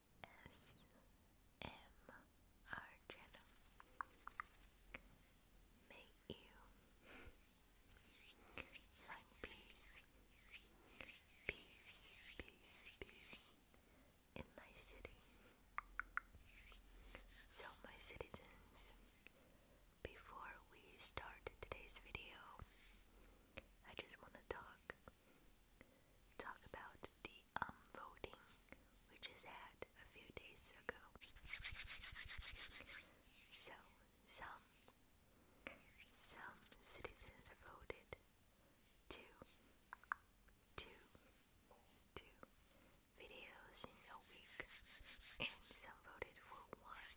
ASMR May you find peace, peace, peace, peace in my city. So, my citizens, before we start today's video, I just want to talk talk about the um, voting which is had a few days ago. So some some citizens voted to videos in a week and some voted for one.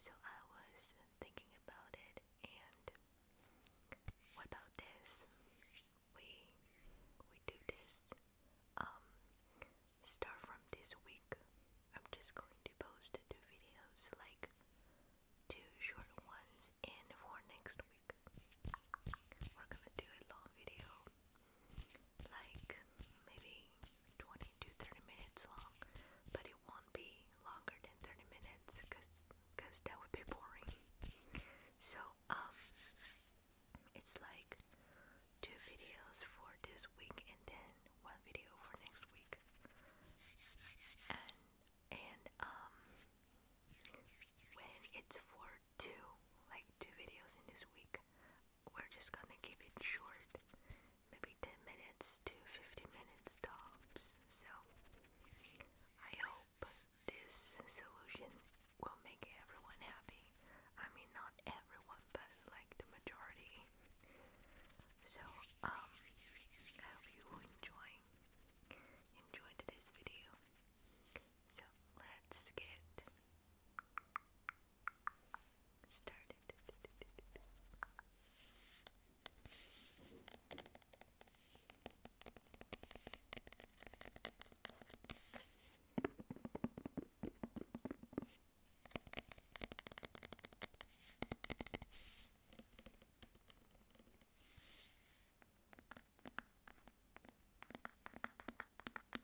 So I was thinking about it, and what about this? We we do this. Um, start from this week. I'm just going to post two videos, like two short ones, and for next week, we're gonna do a long video, like maybe 20 to 30 minutes long, but it won't be longer than 30 minutes because cause that would be boring. So, um, it's like two videos for this week and then one video for next week. And, um, when it's for two, like two videos in this week, we're just gonna keep it short, maybe 10 minutes to 15 minutes tops. So, I hope this solution will make everyone happy. I mean, not everyone, but like the majority. So, um, I hope you enjoy enjoy today's video. So, let's get started.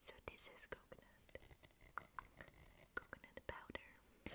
So this is coconut. Coconut powder.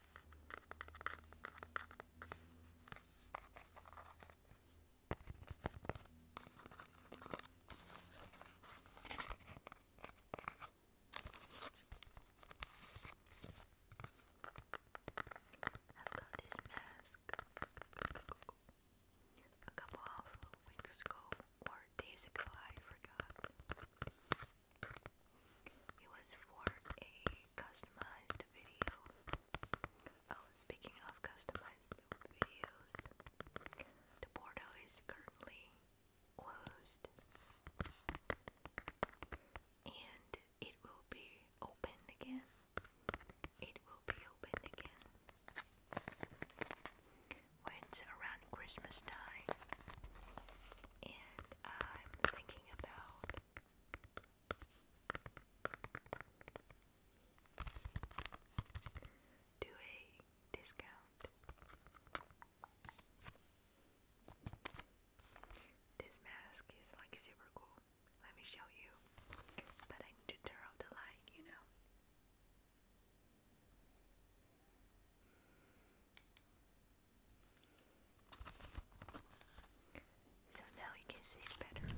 I've got this mask a couple of weeks ago or days ago, I forgot. It was for a customized video. Oh, speaking of customized videos, the portal is currently closed and it will be open again. It will be opened again when around Christmas time, and I'm thinking about do a discount. This mask is like super cool. Let me show you. But I need to turn the light, you know. So now you can see it better.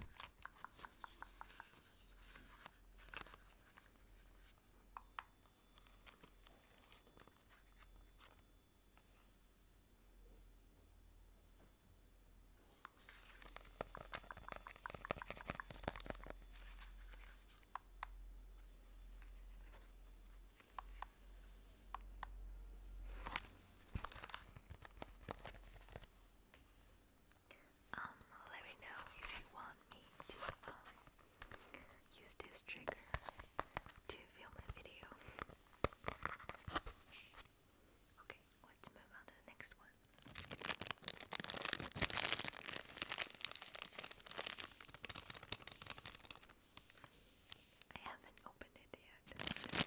Um, let me know if you want me to um, use this trigger to film a video. Okay, let's move on to the next one. I haven't opened it yet.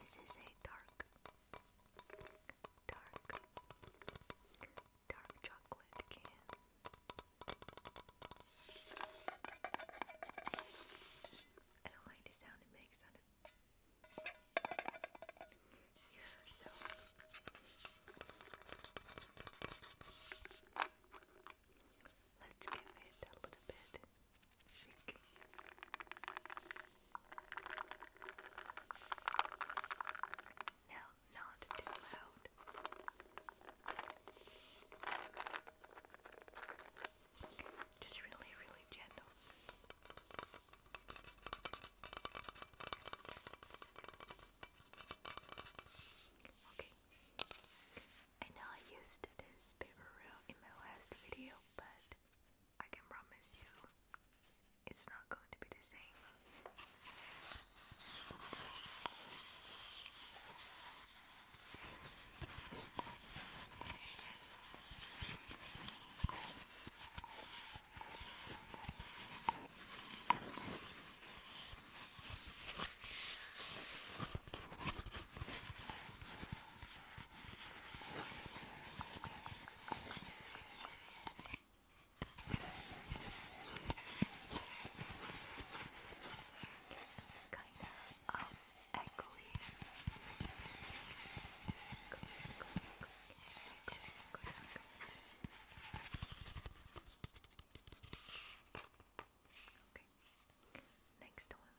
This is a dark, dark, dark chocolate can. I don't like the sound it makes on it. so let's give it a little bit shake. Now, not too loud. Just really, really gentle. Okay. I know I used this paper route in my last video, but I can promise you it's not going to be the same. It's kind of um, echoey. Okay, next one.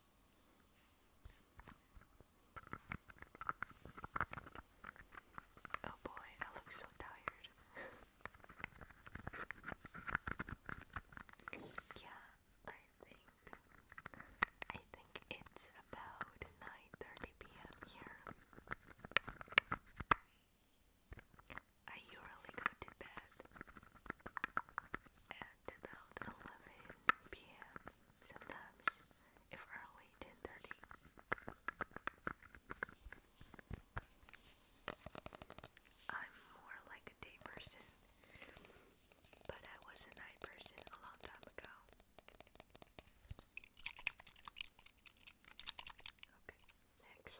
Oh boy, I look so tired. yeah, I think I think it's about 9:30 p.m. here. I usually go to bed at about 11 p.m. Sometimes, if early, 10:30. I'm more like a day person, but I was a night person a long time ago. Okay, next.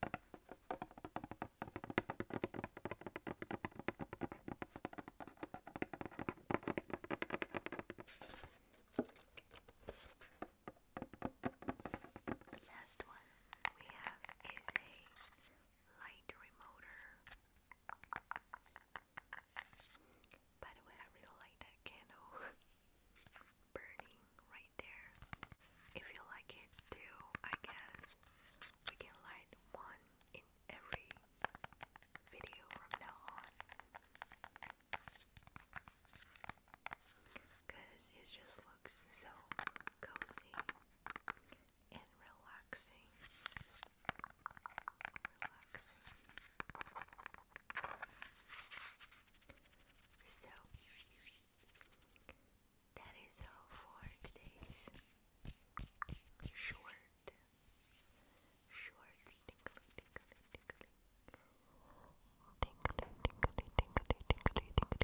The last one we have is a light remoter. By the way, I really like that candle burning right there. If you like it too, I guess we can light one in every video from now on. Cause it just looks so cozy and relaxing. So that is all for today's short, short tinkly, tinkly, tinkly, tinkly, tinkly, tinkly, tinkly, tinkly, tinkly, tinkly, tinkly,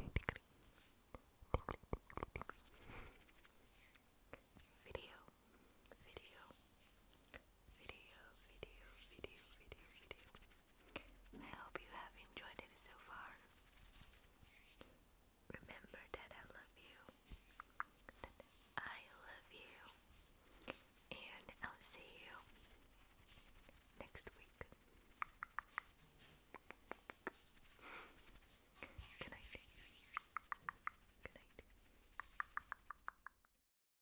tinkly, video, video, video, video, video, video, video. I hope you have enjoyed it so far. Remember that I love you. I love you. And I'll see you next week. Good night. Good night.